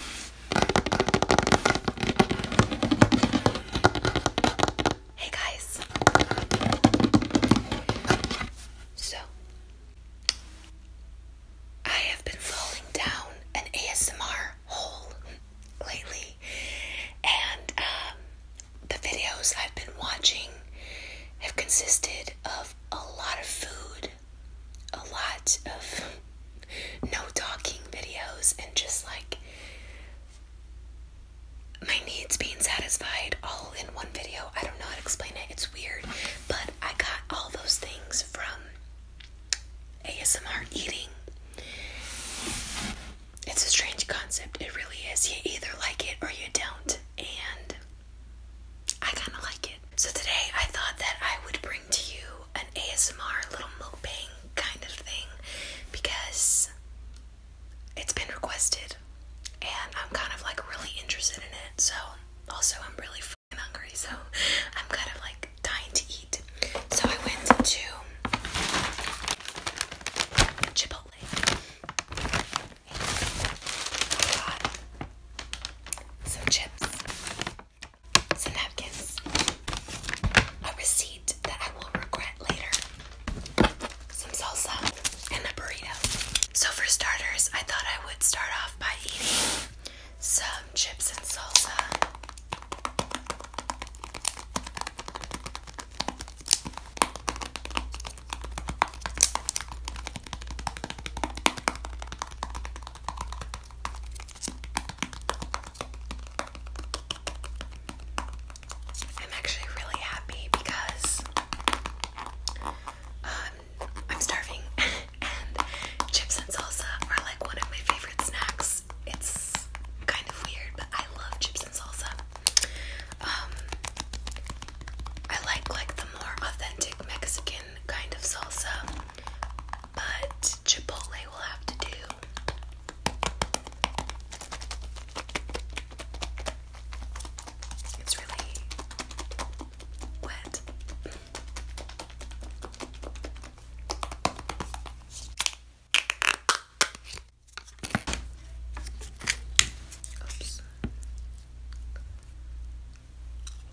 Hey guys. So, I have been falling down an ASMR hole lately, and um, the videos I've been watching have consisted of a lot of food a lot of no talking videos and just like my needs being satisfied all in one video. I don't know how to explain it, it's weird, but I got all those things from ASMR eating. It's a strange concept, it really is. You either like it or you don't, and I kind of like it. So, today I thought that I would bring to you an ASMR little moping kind of thing because it's been requested and I'm kind of like really interested in it. So, also, I'm really fucking hungry, so I'm kind of like dying to eat. So, I went to Chipotle. some chips some napkins, a receipt that I will regret later, some salsa, and a burrito. So, for starters, I thought I would start off by eating some chips and salsa. I'm actually really happy because um, I'm starving, and chips and salsa are like one of my favorite snacks. It's kind of weird, but I love chips and salsa. Um, I like like the more authentic Mexican kind of salsa but Chipotle will have to do. It's really wet. Oops.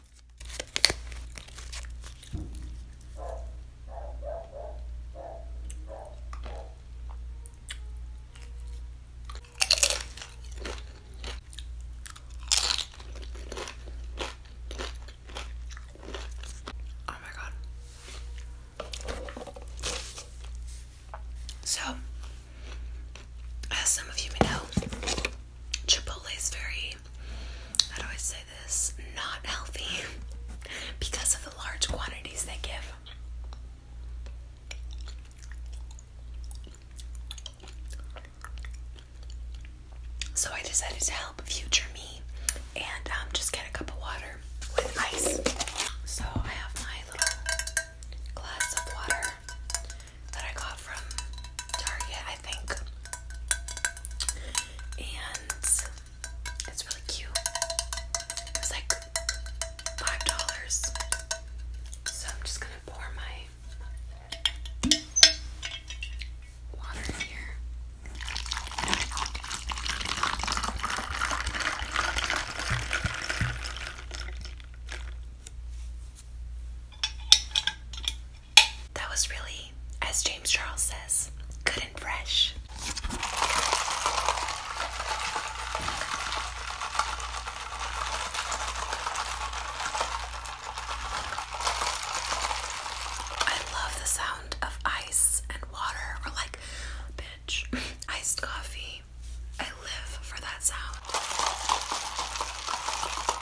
Oh my god. So, as some of you may know, Chipotle is very very, how I say this, not healthy because of the large quantities they give. So I decided to help future me and um, just get a cup of water with ice. So I have my little glass of water that I got from Target, I think. And it's really cute. It like five dollars. So I'm just gonna pour my water in here. That was really, as James Charles says, good and fresh. I love the sound of ice and water, or like, bitch, iced coffee. I live for that sound.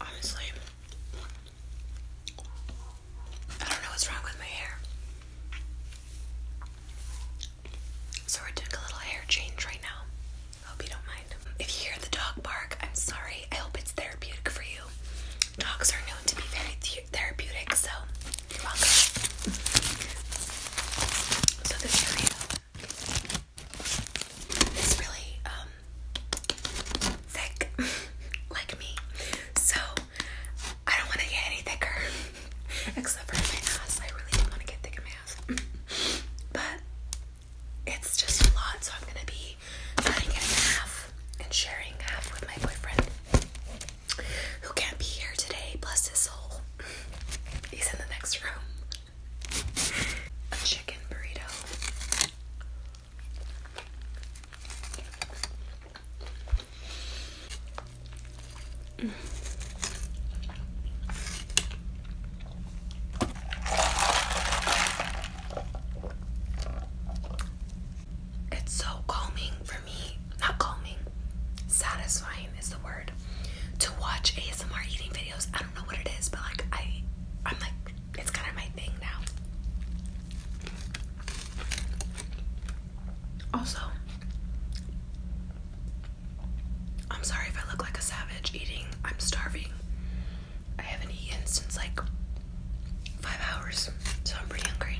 Honestly, I don't know what's wrong with my hair. So, we're doing a little hair change right now. Hope you don't mind. If you hear the dog bark, I'm sorry. I hope it's therapeutic for you. Dogs are known to be very therapeutic, so So this is really um thick, like me. So I don't want to get any thicker, except for my ass. I really don't want to get thick in my ass, but it's just a lot, so I'm gonna be cutting it in half and sharing half with my boyfriend who can't be here today, bless his soul. He's in the next room. A chicken burrito. It's so calming for me. Not calming. Satisfying is the word. To watch ASMR eating videos. I don't know what it is, but like I I'm like it's kind of my thing now. Also, I'm sorry if I look like a savage eating. I'm starving. I haven't eaten since like five hours, so I'm pretty hungry.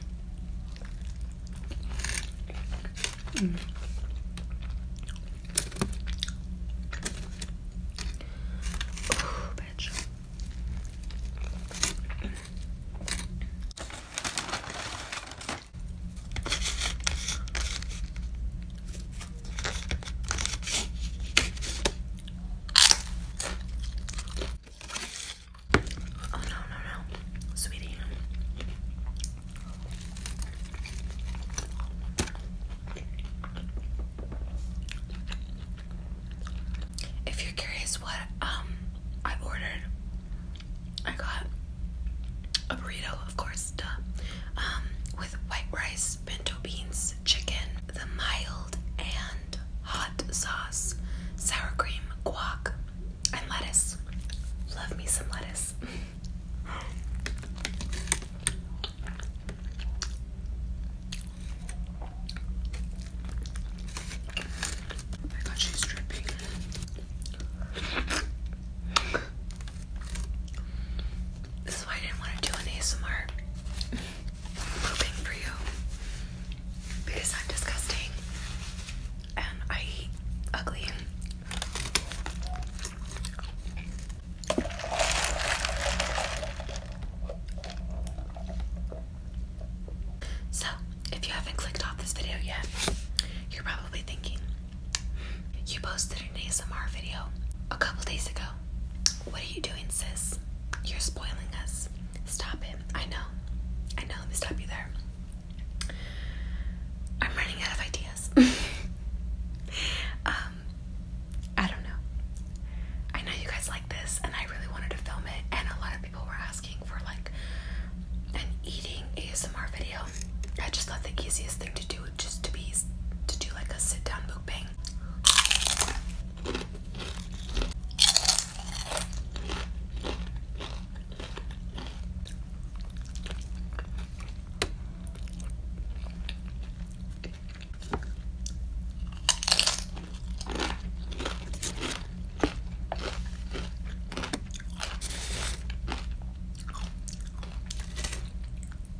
Mm. bitch. Oh, no, no, no, sweetie. If you're curious what um I ordered, I got a burrito, of course. Um, with white rice, pinto beans, chicken, the mild and hot sauce, sour cream, guac, and lettuce. Love me some lettuce. my god, she's dripping. This is why I didn't want to do an ASMR pooping for you. Because I'm disgusting. And I eat ugly. So, if you haven't clicked off this video yet, you're probably thinking, you posted an ASMR video a couple days ago. What are you doing, sis? You're spoiling us. Stop it. I know. I know. Let me stop you there. I'm running out of ideas. um, I don't know. I know you guys like this, and I really wanted to film it, and a lot of people were asking for like an eating ASMR video. I just thought the easiest thing to do just to be to do like a sit down book bang.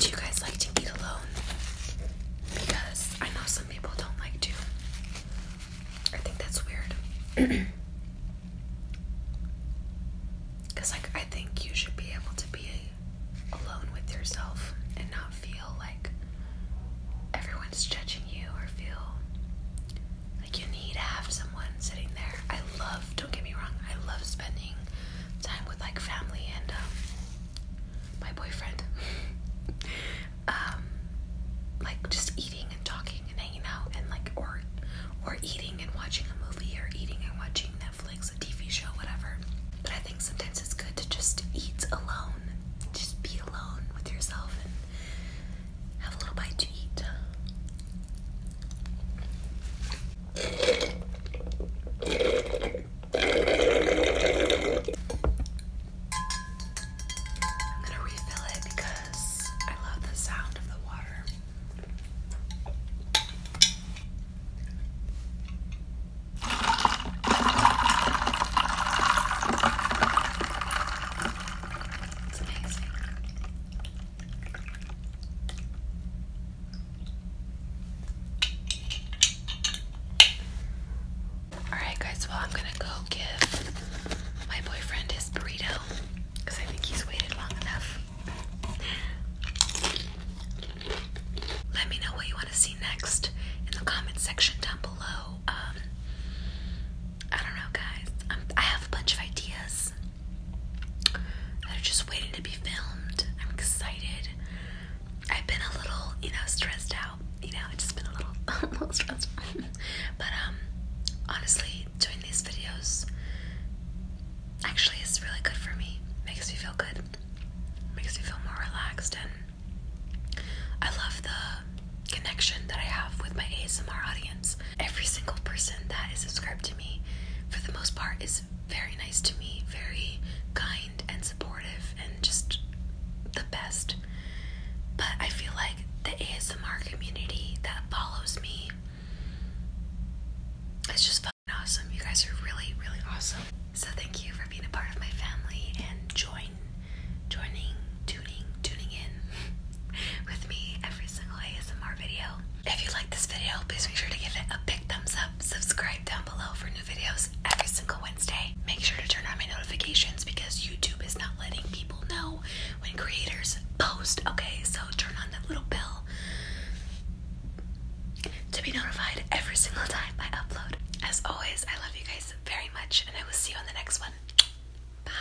Do you guys like to eat alone? Because I know some people don't like to. I think that's weird. Because, like, I think you should be able to be alone with yourself and not feel like everyone's judging you or feel like you need to have so sitting there. I love, don't get me wrong, I love spending time with like family and um, my boyfriend. Um, like just eating and talking and hanging out and like or or eating and watching a movie or eating and watching Netflix, a TV show, whatever. But I think sometimes it's good to just eat alone. Just be alone with yourself and have a little bite to eat. I'm gonna refill it because I love the sound of the water. It's amazing. Alright, guys, well, I'm gonna go give my boyfriend his burrito because I think he's waited long enough. Let me know what you want to see next in the comment section down below. Um, I don't know, guys. I have a bunch of ideas movies are just waiting to be filmed. I'm excited. I've been a little, you know, stressed out. You know, I've just been a little, a little stressed. but um, honestly, doing these videos actually is really good for me. Makes me feel good. Makes me feel more relaxed, and I love the connection that I have with my ASMR audience. Every single person that is subscribed to me, for the most part, is very nice to me, very kind and supportive, and just the best. But I feel like the ASMR community that follows me is just fucking awesome. You guys are really, really awesome. So thank you for being a part of my family and join, joining, tuning, tuning in. with me every single ASMR video. If you like this video, please make sure to give it a big thumbs up. Subscribe down below for new videos every single Wednesday. Make sure to turn on my notifications because YouTube is not letting people know when creators post. Okay, so turn on that little bell to be notified every single time I upload. As always, I love you guys very much and I will see you on the next one. Bye.